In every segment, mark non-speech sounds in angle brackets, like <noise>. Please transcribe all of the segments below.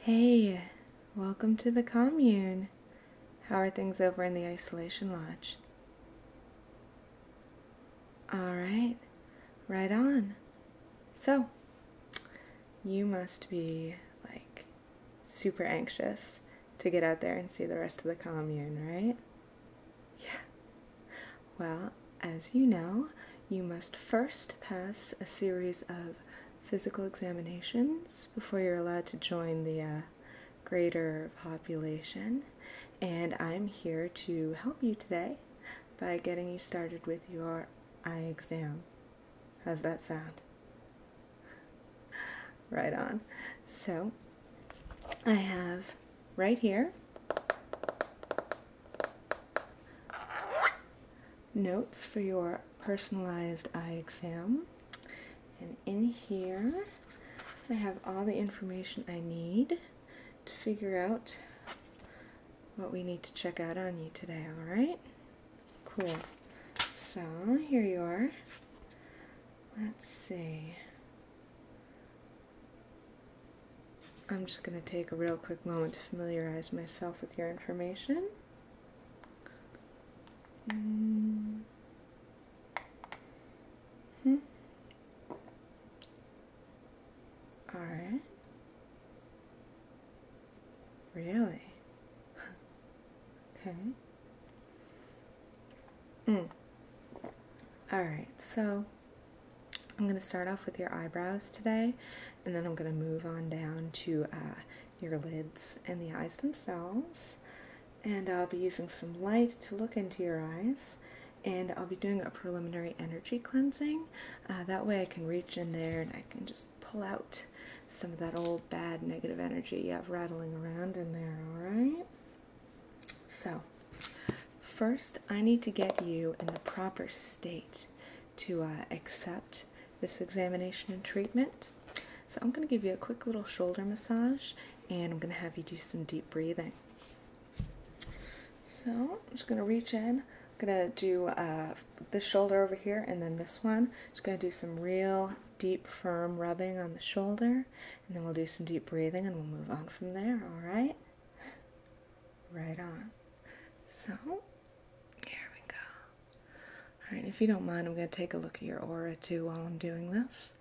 Hey, welcome to the commune. How are things over in the isolation lodge? All right, right on. So, you must be like super anxious to get out there and see the rest of the commune, right? Yeah. Well, as you know, you must first pass a series of physical examinations before you're allowed to join the uh, greater population. And I'm here to help you today by getting you started with your eye exam. How's that sound? <laughs> Right on. So, I have right here notes for your personalized eye exam. And in here, I have all the information I need to figure out what we need to check out on you today, alright? Cool. So, here you are. Let's see. I'm just going to take a real quick moment to familiarize myself with your information. Mm hmm. All right. Really? <laughs> okay. Mm. All right. So I'm going to start off with your eyebrows today, and then I'm going to move on down to uh, your lids and the eyes themselves. And I'll be using some light to look into your eyes. And I'll be doing a preliminary energy cleansing. Uh, that way I can reach in there and I can just pull out some of that old bad negative energy you have rattling around in there, alright? So, first I need to get you in the proper state to uh, accept this examination and treatment. So I'm going to give you a quick little shoulder massage and I'm going to have you do some deep breathing. So I'm just going to reach in. I'm going to do uh, this shoulder over here and then this one. Just going to do some real deep firm rubbing on the shoulder and then we'll do some deep breathing and we'll move on from there. All right? Right on. So here we go. All right, if you don't mind, I'm going to take a look at your aura too while I'm doing this.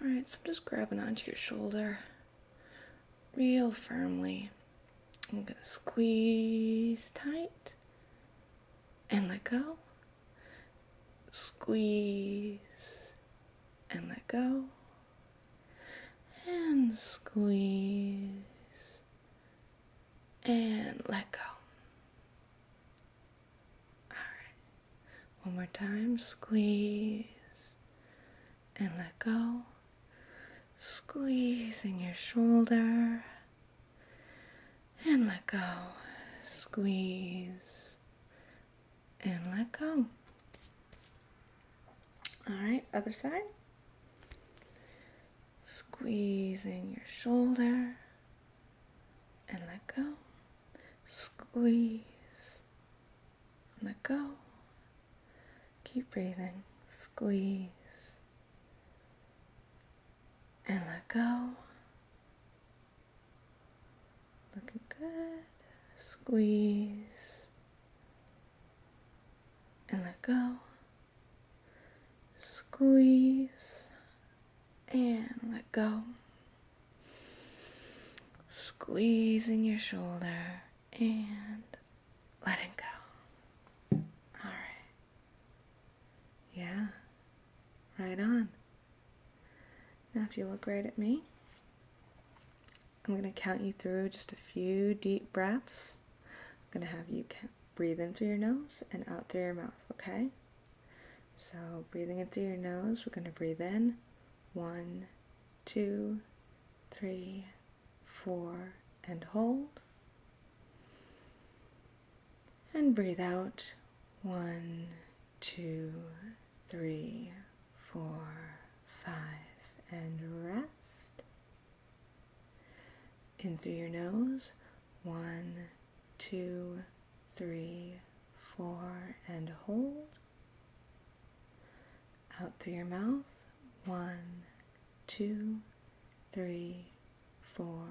All right, so I'm just grabbing onto your shoulder real firmly. I'm going to squeeze tight and let go. Squeeze and let go and squeeze and let go. All right, one more time squeeze and let go, squeezing your shoulder and let go, squeeze and let go. All right, other side. Squeezing your shoulder and let go. Squeeze, let go. Keep breathing. Squeeze and let go. Looking good. Squeeze and let go. Squeeze and let go. Squeezing your shoulder and letting go. All right. Yeah, right on. Now, if you look right at me, I'm going to count you through just a few deep breaths. I'm going to have you breathe in through your nose and out through your mouth, okay? So, breathing in through your nose, we're going to breathe in one, two, three, four, and hold. And breathe out one, two, three, four, five, and rest. In through your nose, one, two, three, four, and hold. Out through your mouth, one, two, three, four,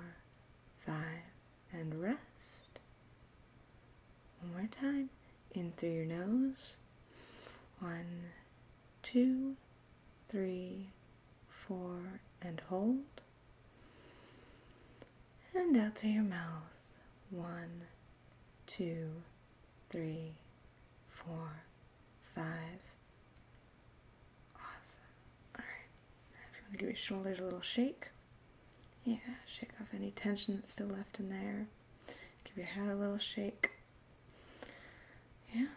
five, and rest. One more time. In through your nose, one, two, three, four, and hold. And out through your mouth. One, two, three, four, five. Awesome. Alright. if you want to give your shoulders a little shake. Yeah, shake off any tension that's still left in there. Give your head a little shake. Yeah,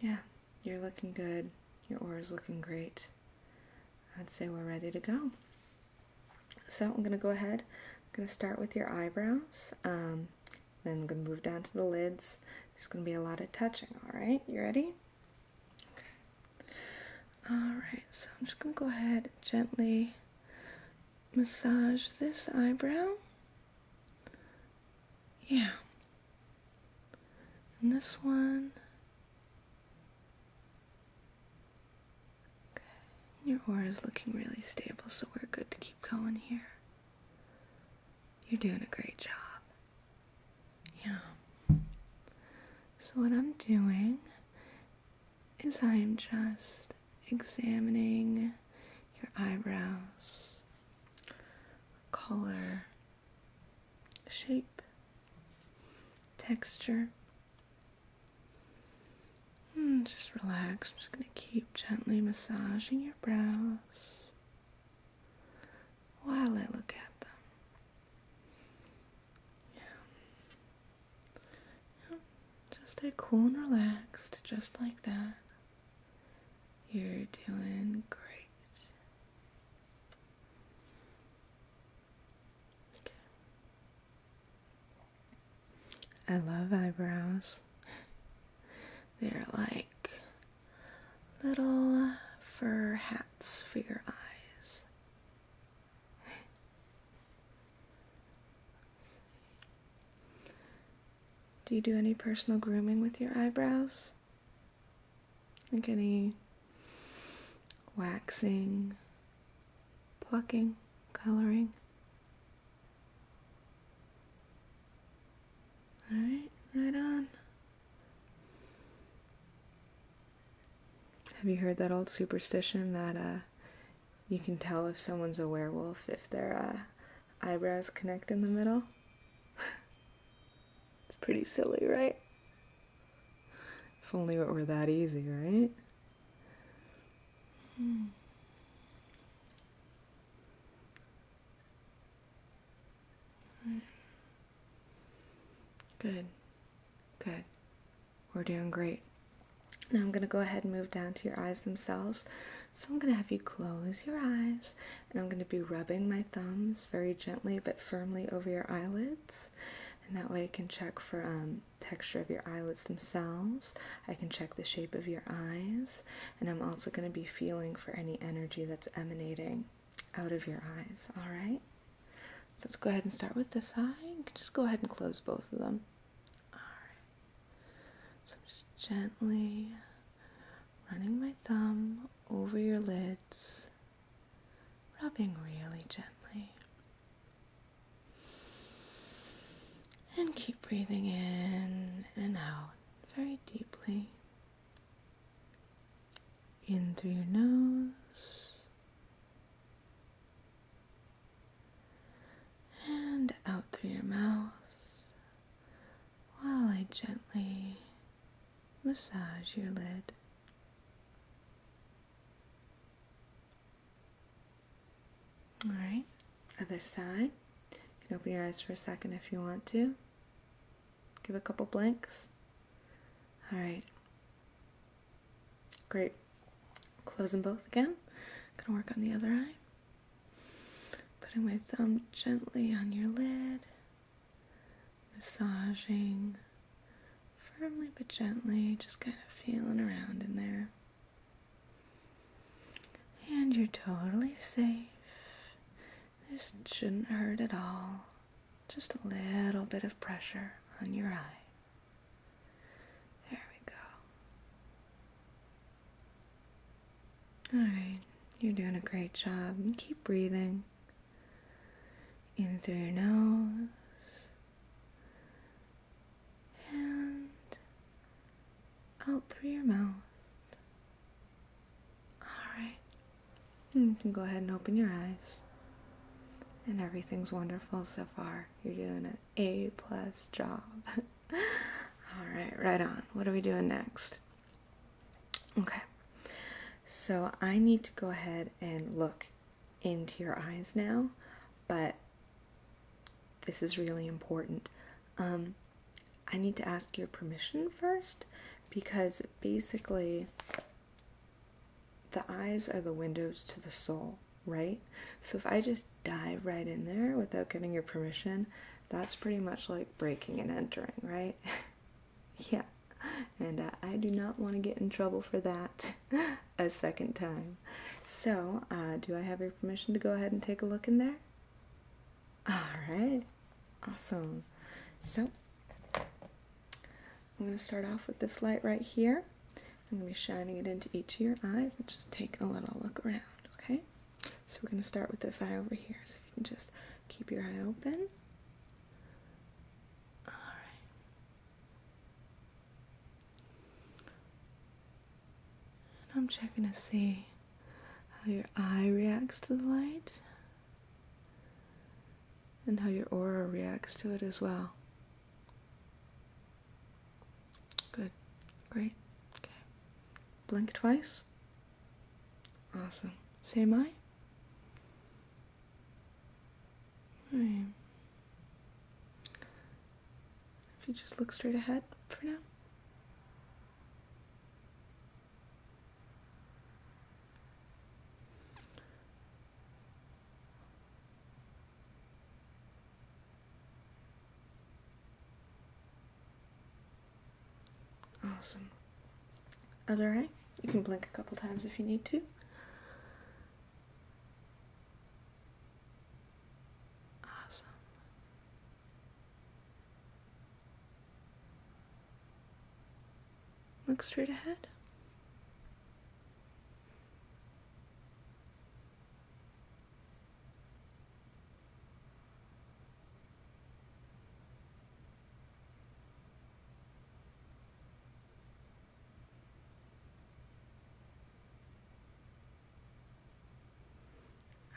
yeah, you're looking good. Your aura's looking great. I'd say we're ready to go. So I'm going to go ahead. I'm going to start with your eyebrows. Um, then I'm going to move down to the lids. There's going to be a lot of touching, all right? You ready? Okay. All right, so I'm just going to go ahead gently massage this eyebrow yeah. And this one. Your aura is looking really stable, so we're good to keep going here. You're doing a great job. Yeah. So, what I'm doing is I am just examining your eyebrows, color, shape, texture. Hmm, just relax. I'm just going to keep gently massaging your brows while I look at them. yeah. Just stay cool and relaxed, just like that. You're doing great. I love eyebrows. They're like little fur hats for your eyes. Do you do any personal grooming with your eyebrows? Like any waxing, plucking, coloring? Alright, right on. Have you heard that old superstition that uh, you can tell if someone's a werewolf if their uh, eyebrows connect in the middle. <laughs> it's pretty silly, right? If only it were that easy, right? Hmm. Good. Good. We're doing great. Now I'm going to go ahead and move down to your eyes themselves. So I'm going to have you close your eyes and I'm going to be rubbing my thumbs very gently but firmly over your eyelids. And that way I can check for um, texture of your eyelids themselves. I can check the shape of your eyes. And I'm also going to be feeling for any energy that's emanating out of your eyes. All right. So let's go ahead and start with this eye. just go ahead and close both of them. All right. So I'm just gently running my thumb over your lids, rubbing really gently. And keep breathing in and out very deeply. In through your nose. And out through your mouth, while I gently massage your lid. All right, other side. You can open your eyes for a second if you want to. Give a couple blinks. All right. Great. Close them both again. Gonna work on the other eye. Putting my thumb gently on your lid, massaging firmly but gently, just kind of feeling around in there. And you're totally safe. This shouldn't hurt at all. Just a little bit of pressure on your eye. There we go. All right, you're doing a great job. Keep breathing in through your nose and out through your mouth. All right, you can go ahead and open your eyes. And everything's wonderful so far. You're doing an A plus job. <laughs> All right, right on. What are we doing next? Okay. So I need to go ahead and look into your eyes now, but this is really important. Um, I need to ask your permission first because basically the eyes are the windows to the soul, right? So if I just dive right in there without getting your permission, that's pretty much like breaking and entering, right? <laughs> yeah, and uh, I do not want to get in trouble for that <laughs> a second time. So, uh, do I have your permission to go ahead and take a look in there? Alright, awesome. So, I'm going to start off with this light right here. I'm going to be shining it into each of your eyes and just take a little look around, okay? So we're going to start with this eye over here. So if you can just keep your eye open. All right. And I'm checking to see how your eye reacts to the light and how your aura reacts to it as well. Good. Great. Okay. Blink twice. Awesome. Same eye? Alright. Hmm. If you just look straight ahead for now. Awesome. Other eye. You can blink a couple times if you need to. Awesome. Look straight ahead.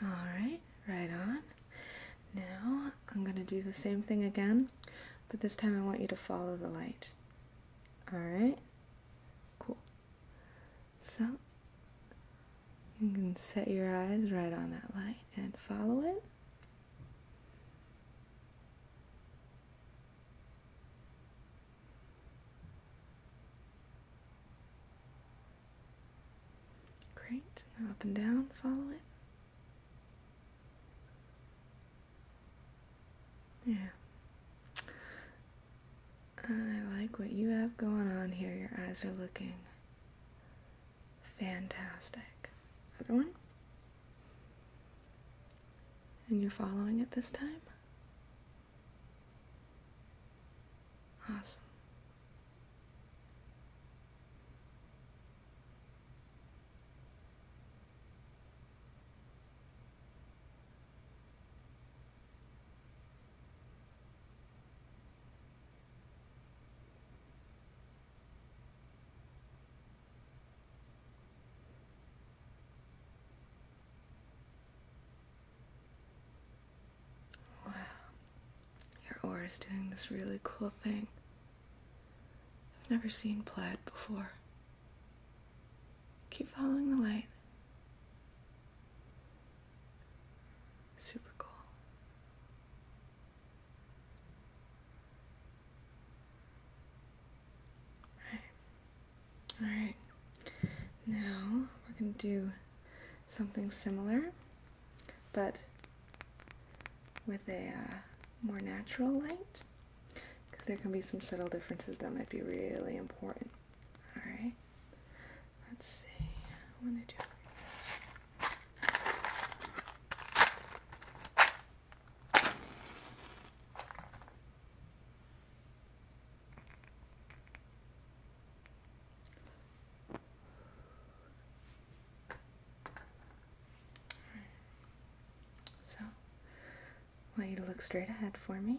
All right, right on. Now I'm going to do the same thing again, but this time I want you to follow the light. All right, cool. So you can set your eyes right on that light and follow it. Great. Now up and down, follow it. Yeah. I like what you have going on here. Your eyes are looking Fantastic. Other one. And you're following it this time? Awesome. Wow. Your aura is doing this really cool thing. I've never seen plaid before. Keep following the light. Super cool. All right. Now we're going to do something similar, but with a uh, more natural light, because there can be some subtle differences that might be really important. All right. Let's see. I want to do so, I want you to look straight ahead for me.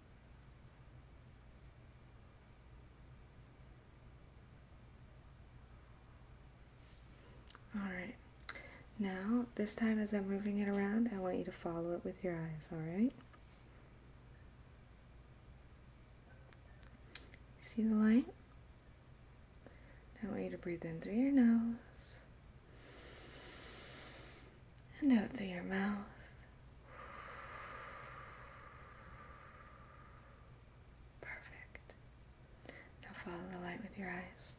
Alright, now this time as I'm moving it around, I want you to follow it with your eyes, alright? See the light? Now I want you to breathe in through your nose and out through your mouth. Perfect. Now follow the light with your eyes.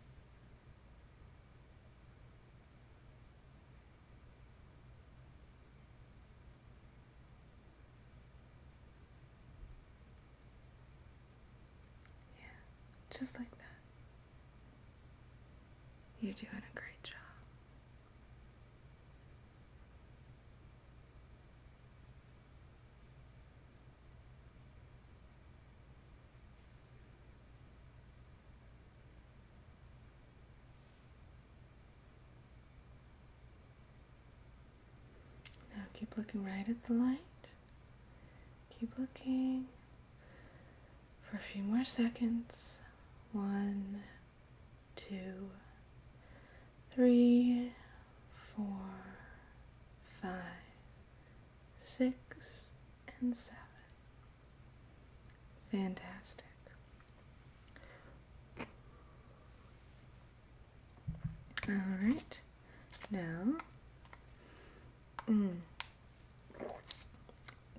Yeah, just like that. You're doing a great job. Now keep looking right at the light. Keep looking for a few more seconds. One, two, three, four, five, six, and seven. Fantastic. All right, now, mm,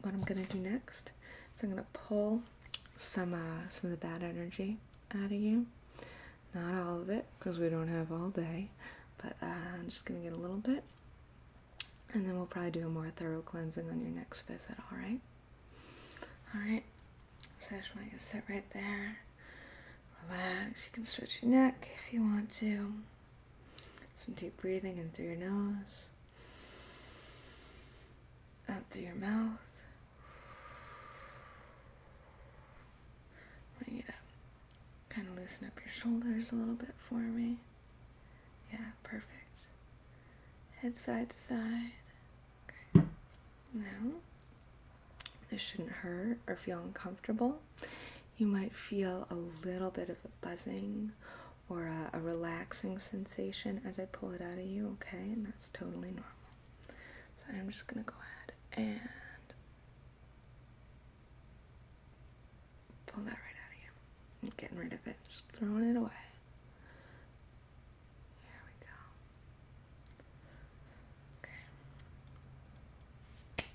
what I'm going to do next is I'm going to pull some uh, some of the bad energy out of you. Not all of it, because we don't have all day, but uh, I'm just gonna get a little bit, and then we'll probably do a more thorough cleansing on your next visit. All right. All right. So I just want you to sit right there, relax. You can stretch your neck if you want to. Some deep breathing in through your nose out through your mouth. I want you kind of loosen up your shoulders a little bit for me. Yeah, perfect. Head side to side. Okay. Now, this shouldn't hurt or feel uncomfortable. You might feel a little bit of a buzzing or a, a relaxing sensation as I pull it out of you, okay? And that's totally normal. So I'm just going to go ahead and pull that right out of you. getting rid of it. Just throwing it away. There we go. Okay.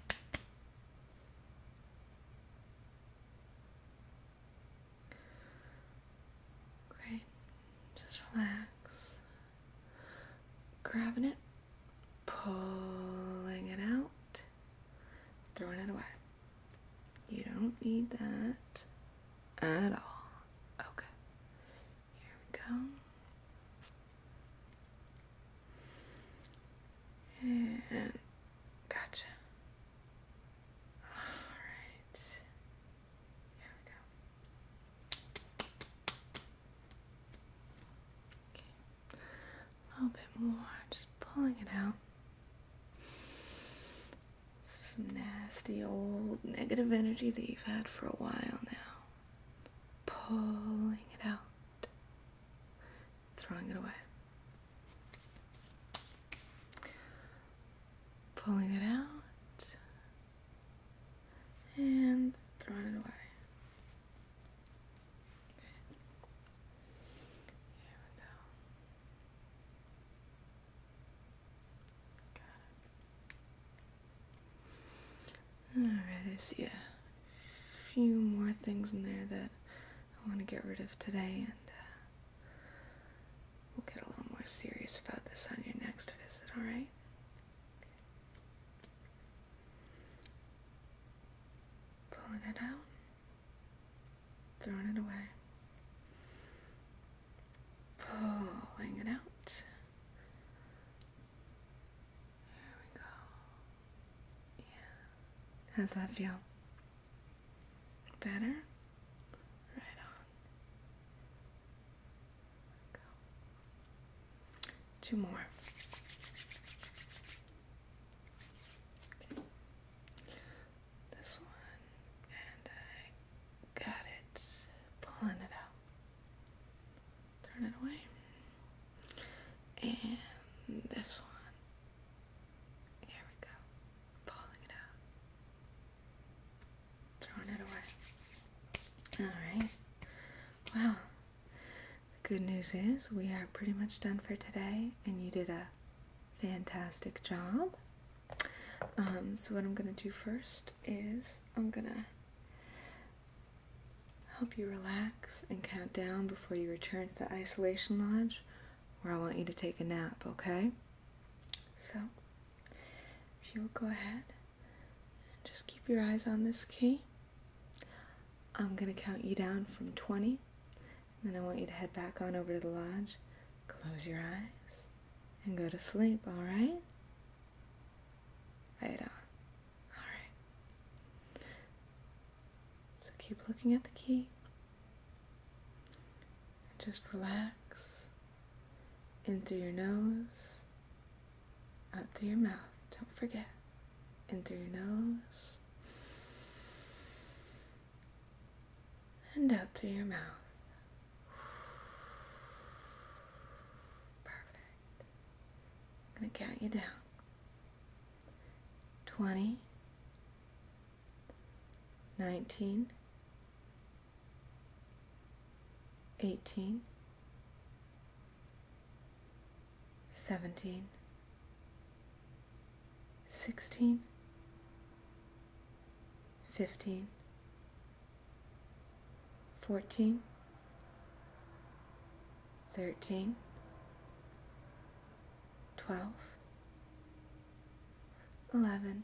Great. Just relax. Grabbing it, pulling it out, throwing it away. You don't need that at all. Okay. Here we go. And gotcha. All right. Here we go. Okay. A little bit more, just pulling it out. This is Some nasty old negative energy that you've had for a while now. Pulling it out. Throwing it away. Pulling it out, and throwing it away. Here we go. Got it. Alright, I see a few more things in there that I want to get rid of today, and uh, We'll get a little more serious about this on your next visit, alright? Pulling it out, throwing it away, pulling it out. There we go. Yeah. How's that feel? Better? Right on. Two more. This one, and I got it. Pulling it out. Turn it away. And this one. Here we go. Pulling it out. Throwing it away. Alright. Well, the good news is we are pretty much done for today, and you did a fantastic job. Um, so what I'm going to do first is I'm going to help you relax and count down before you return to the isolation lodge where I want you to take a nap, okay? So, if you will go ahead and just keep your eyes on this key, I'm going to count you down from 20. And then I want you to head back on over to the lodge, close your eyes, and go to sleep, all right? Right on. All right. So keep looking at the key. And just relax in through your nose, out through your mouth. Don't forget. In through your nose, and out through your mouth. Perfect. I'm going to count you down. Twenty, nineteen. 18, 17, 16, 15, 14, 13, 12, 11,